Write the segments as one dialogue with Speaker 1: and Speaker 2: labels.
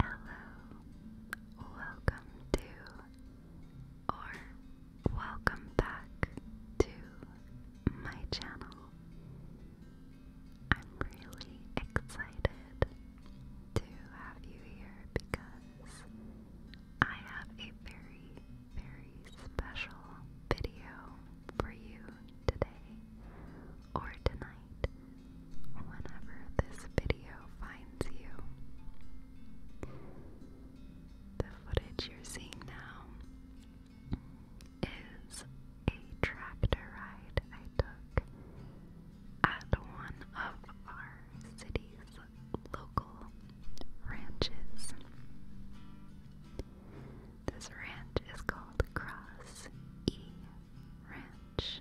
Speaker 1: Hello, hello, welcome to, or welcome back to my channel. I'm really excited to have you here because I have a very, very special video for you today or tonight, whenever this video finds you. The footage you're seeing now is a tractor ride I took at one of our city's local ranches. This ranch is called Cross E ranch.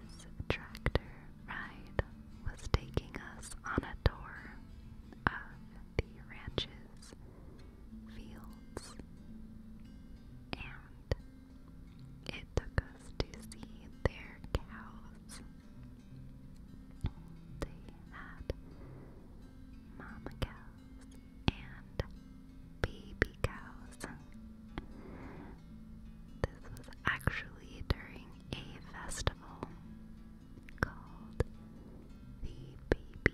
Speaker 1: This tractor ride was taking us on a tour of the ranch's fields, and it took us to see their cows. They had mama cows and baby cows. This was actually during a festival called the Baby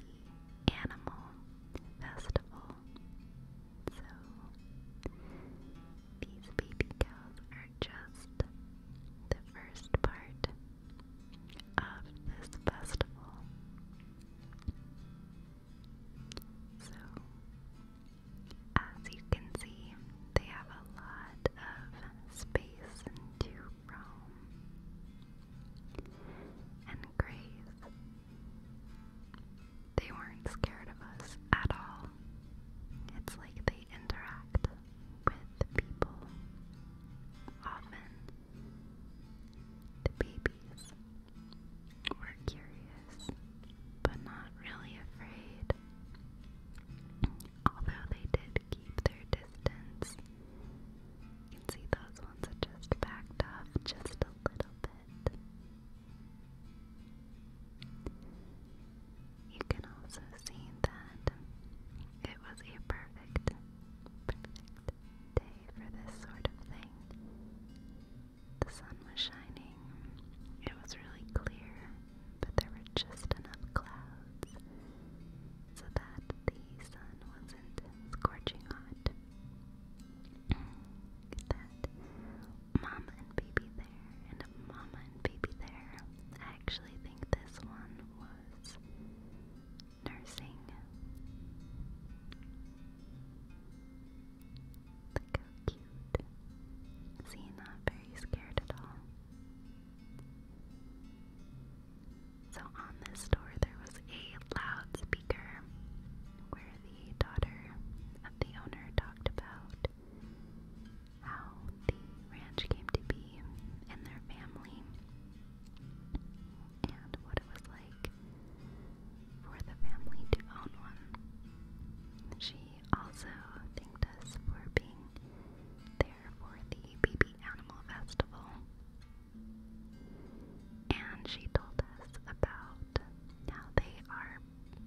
Speaker 1: Animal Festival. So these baby cows are just the first part of this festival. So, as you can see, they have a lot of space to roam and graze. They weren't scared of us at all. It's like they interact with people often the babies were curious, but not really afraid. Although they did keep their distance, you can see those ones are just backed off just a little bit. You can also see that it was a perfect, perfect day for this sort of thing. The sun was shining, it was really clear, but there were just enough clouds so that the sun wasn't scorching hot. that mama and baby there, and a mama and baby there. I actually think this one was nursing look how cute see not very scared at all so on this door there was a loudspeaker where the daughter of the owner talked about how the ranch came to be and their family and what it was like for the family to own one. She also thanked us for being there for the Baby Animal Festival. And she told us about how they are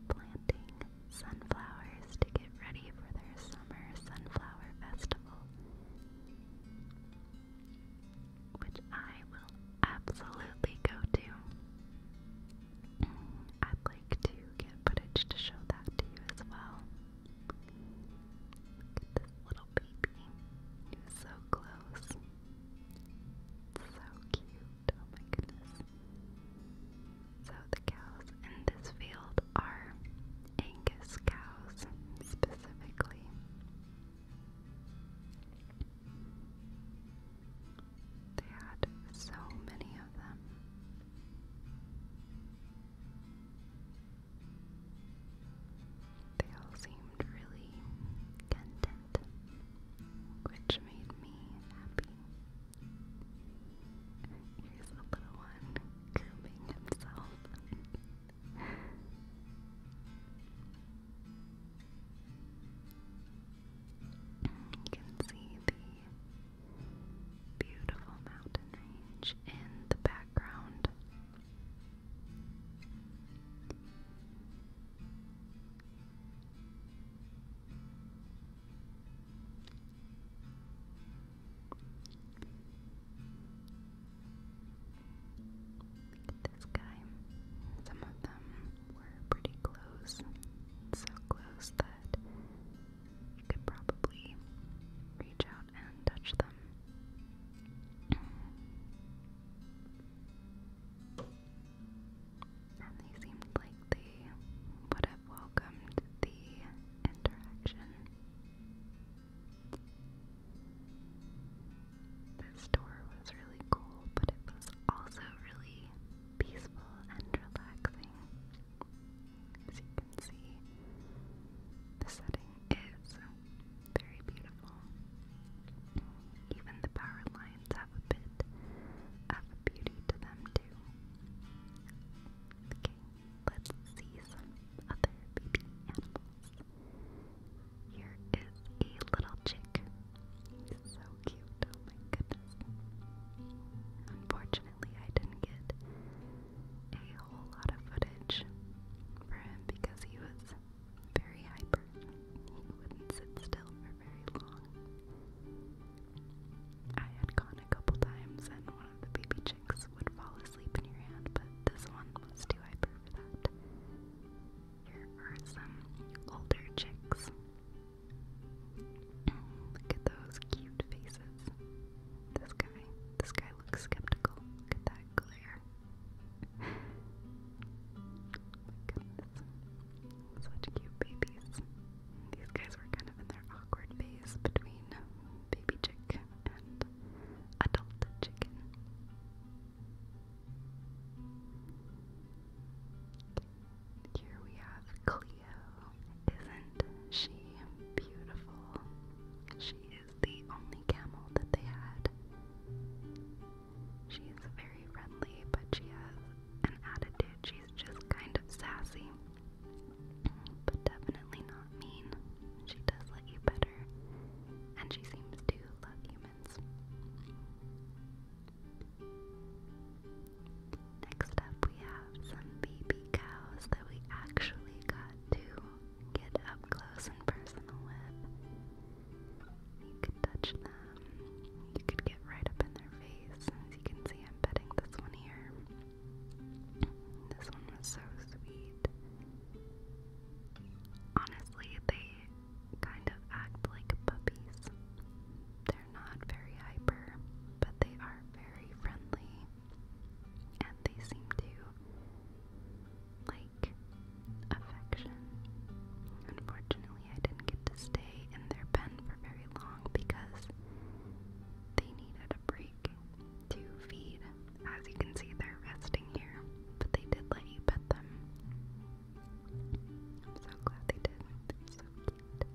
Speaker 1: planting sunflowers to get ready for their summer sunflower festival which I will absolutely go to. Mm, I'd like to get footage to show that to you as well. Look at this little baby. He was so close. So cute. Oh my goodness. So the cows in this field are Angus cows specifically. They had so many of them. They all seemed really content, which made me happy. Here's the little one grooming himself. You can see the beautiful mountain range in the background this guy. Some of them were pretty close, so close that you could probably reach out and touch them. And they seemed like they would have welcomed the interaction. This tour was really cool, but it was also really peaceful and relaxing. As you can see, the setting is very beautiful. Even the power lines have a bit of a beauty to them, too. Okay, let's see some other baby animals. Here is a little chick. So cute. Oh my goodness. Unfortunately, I didn't get a whole lot of footage for him because he was very hyper. He wouldn't sit still for very long. I had gone a couple times, and one of the baby chicks would fall asleep sleep in your hand, but this one was too hyper for that. Here are some older chicks. Look at those cute faces. This guy, this guy looks skeptical. Look at that glare. my goodness. Such cute babies. These guys were kind of in their awkward phase between baby chick and adult chicken. Here we have Cleo. Isn't she beautiful? She is the only camel that they had. She is very friendly, but she has an attitude. She's just kind of sassy, but definitely not mean. She does like you better, and she seems to love humans. Next up, we have some baby cows that we actually got to get up close and personal with. You could touch them, you could get right up in their face. As you can see, I'm petting this one here. This one was so sweet. Honestly, they kind of act like puppies. They're not very hyper, but they are very friendly. And they seem to like affection. Unfortunately, I didn't get to stay in their pen for very long because they needed a break to feed. As you can see, they're resting here, but they did let you pet them. I'm so glad they did. They're so cute.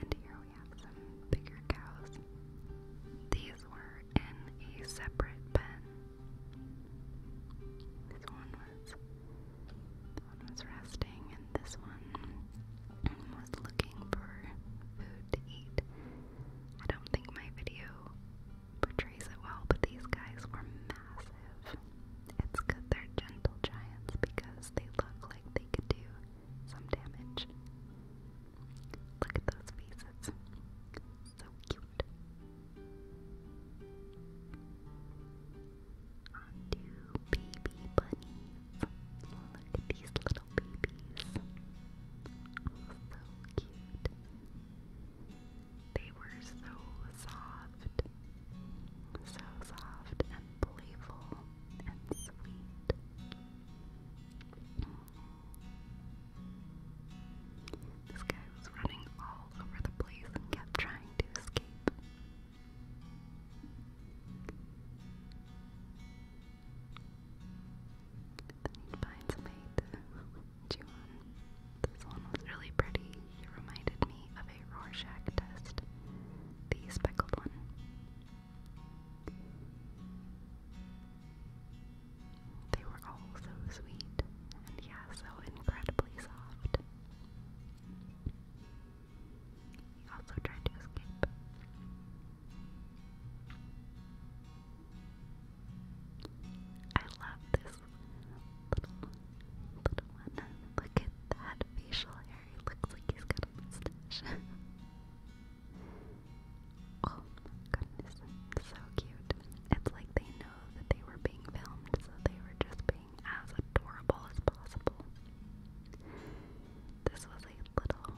Speaker 1: And here we have some bigger cows. These were in a separate pen. This one was this one was resting and this one was looking for food to eat. I don't think my video portrays it well, but these guys were massive. It's good they're gentle giants because they look like they could do some damage. Look at those faces. So cute. On to baby bunnies. Look at these little little babies. so cute. They were so soft, so soft and playful and sweet. This guy was running all over the place and kept trying to escape. Then you'd find somebody This one was really pretty. It reminded me of a Rorschach the speckled one. They were all so sweet, and yeah, so incredibly soft. He also tried to escape. I love this little, little one. Look at that facial hair. looks like he's got a mustache. oh goodness, so cute. It's like they know that they were being filmed, so they were just being as adorable as possible. This was a little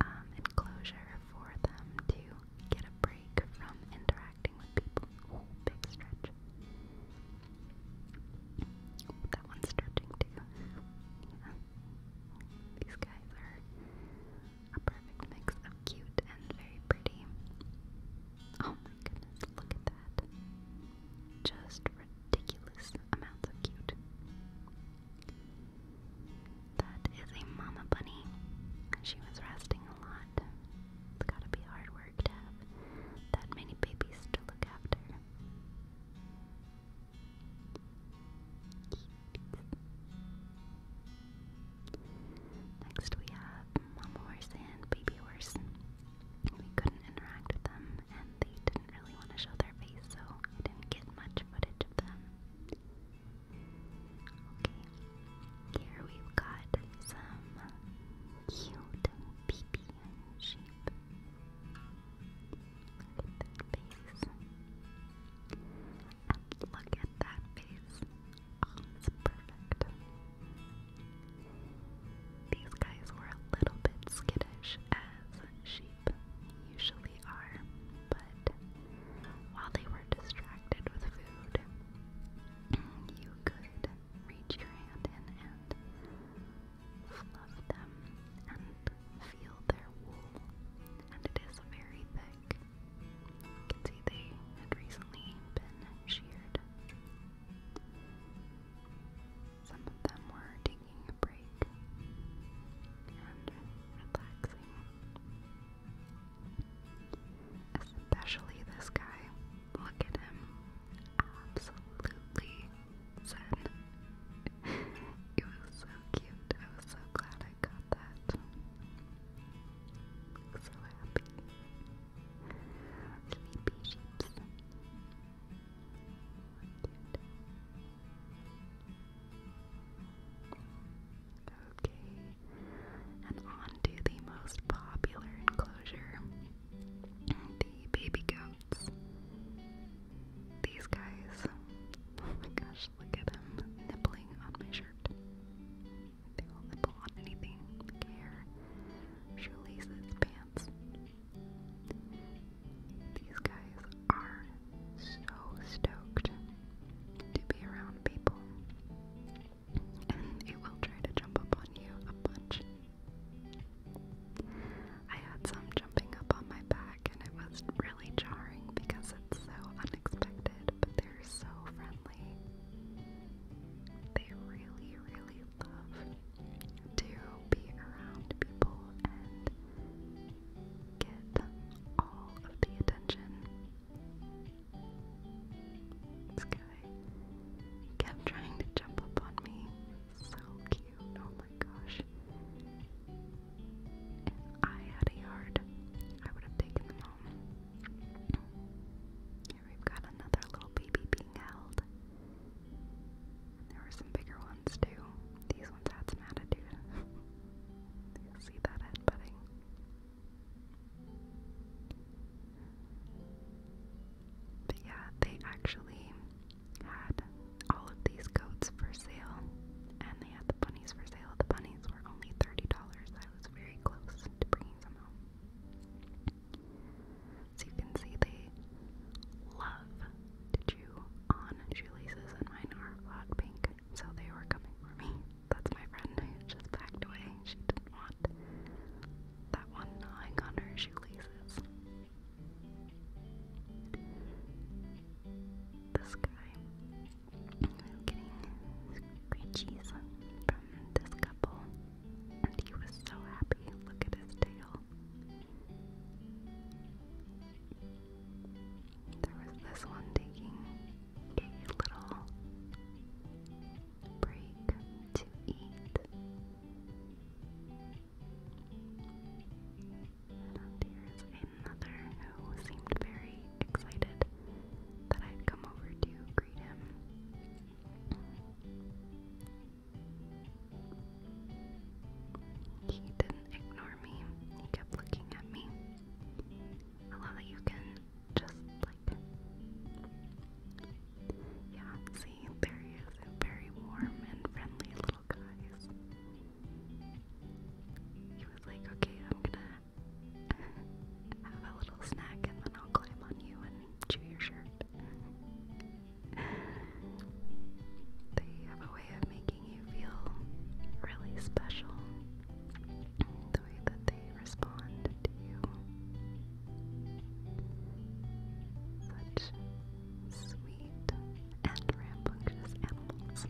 Speaker 1: um, enclosure for them to get a break from interacting with people. big stretch. that one's stretching too. These guys are a perfect mix of cute and very pretty. Oh my goodness, look at that. Just ridiculous amounts of cute. That is a mama bunny. She was resting a lot. It's gotta be hard work to have that many babies to look after. Next we have mama horse and baby horse. We couldn't interact with them and they didn't really want to show their face so I didn't get much footage of them. Okay, here we've got some cute baby sheep. Look at face. And look at that face. Oh, it's perfect. These guys were a little bit skittish as sheep usually are, but while they were distracted with food, you could reach your hand in and fluff them and feel their wool, and it is very thick. You can see they had recently been sheared. Some of them were taking a break and relaxing. Especially this guy. Look at him. Absolutely zen. it was so cute. I was so glad I got that. So happy. Sleepy sheeps. Cute. Okay, and on the most popular enclosure the baby goats. These guys, oh my gosh, look at them nibbling on my shirt. They will nibble on anything, hair, shoelaces, pants. These guys are so stoked to be around people, and they will try to jump up on you a bunch. I had some jumping up on my back, and it was really jarring because it's so unexpected, but they're so friendly. They really, really love to be around people get all of the attention. This guy kept trying to jump up on me. So cute. Oh my gosh. If I had a yard, I would have taken them home. Here we've got another little baby being held. there were some bigger ones too. These ones had some attitude. see that head butting? But yeah, they actually had all of these coats for sale, and they had the bunnies for sale. The bunnies were only $30. I was very close to bringing some home. So you can see they love to you on shoelaces, and mine are hot pink so they were coming for me. That's my friend just backed away. She didn't want that one gnawing on her shoelaces. This guy, I'm getting screeches from this couple, and he was so happy. Look at his tail. There was this one taking a little break to eat. And another who seemed very excited that I'd come over to greet him. He didn't ignore he kept looking at me. I love that you can just like Yeah, see, there he is, a very warm and friendly little guy. He was like, okay, I'm gonna have a little snack and then I'll climb on you and chew your shirt. way of making you feel really special. The way that they respond to you. Such sweet and rambunctious animals. This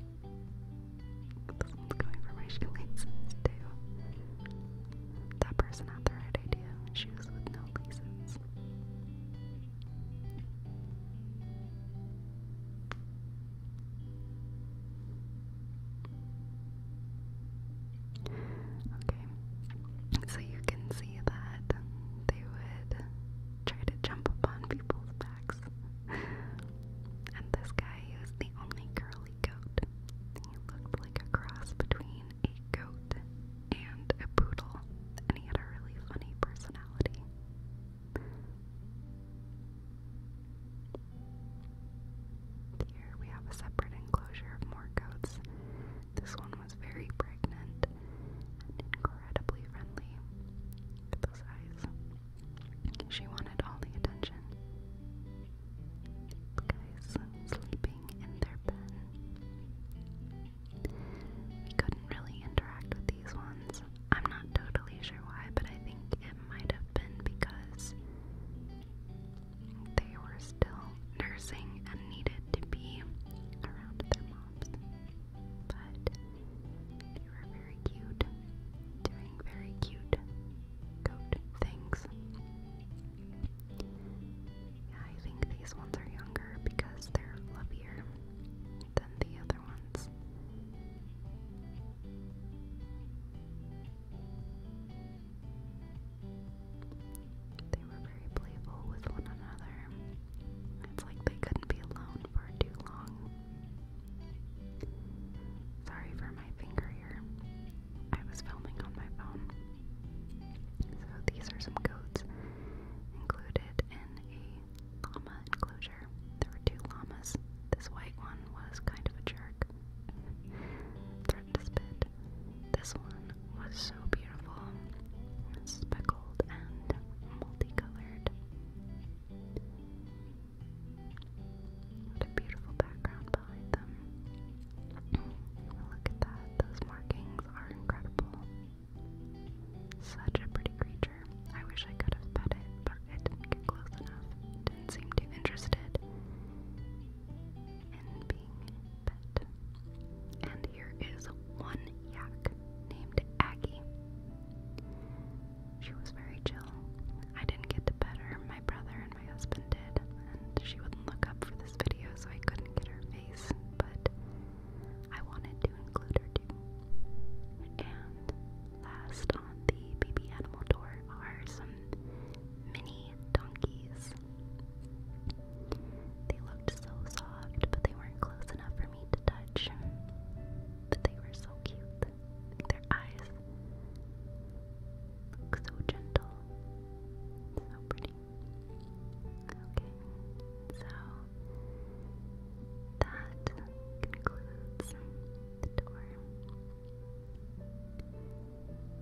Speaker 1: one's going for my shoelaces too. That person had the right idea. Shoes with no laces. Okay, so you can see that they would try to jump upon people's backs. and this guy was the only curly goat. He looked like a cross between a goat and a poodle, and he had a really funny personality. Here we have a separate enclosure of more goats. This one was very pregnant incredibly friendly. Look at those She wanted all the attention. Guys sleeping in their pen. We couldn't really interact with these ones. I'm not totally sure why, but I think it might have been because they were still nursing and needed to be around their moms. But they were very cute, doing very cute goat things. Yeah, I think these ones are younger because they're fluffier than the other other ones. They were very playful with one another. It's like they couldn't be alone for too long. Sorry for my finger here. I was filming on my phone. So these are some codes included in a llama enclosure. There were two llamas. This white one was kind of a jerk, threatened to spit. This one was so beautiful, speckled and multicolored. What a beautiful background behind them. Look at that, those markings are incredible. Such a pretty creature. I wish I could have pet it, but it didn't get close enough. didn't seem too interested in being pet. And here is one yak named Aggie. She was very chill. I didn't get to pet her, my brother and my husband did, and she wouldn't look up for this video, so I couldn't get her face, but I wanted to include her too. And last on the baby animal door are some mini donkeys. They looked so soft, but they weren't close enough for me to touch. But they were so cute. Their eyes look so gentle. So pretty. Okay, so that concludes the tour.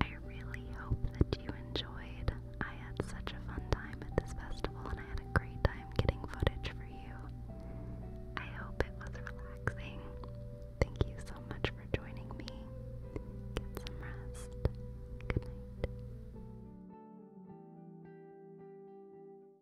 Speaker 1: I really hope that you enjoyed. I had such a fun time at this festival and I had a great time getting footage for you. I hope it was relaxing. Thank you so much for joining me. Get some rest. Good night.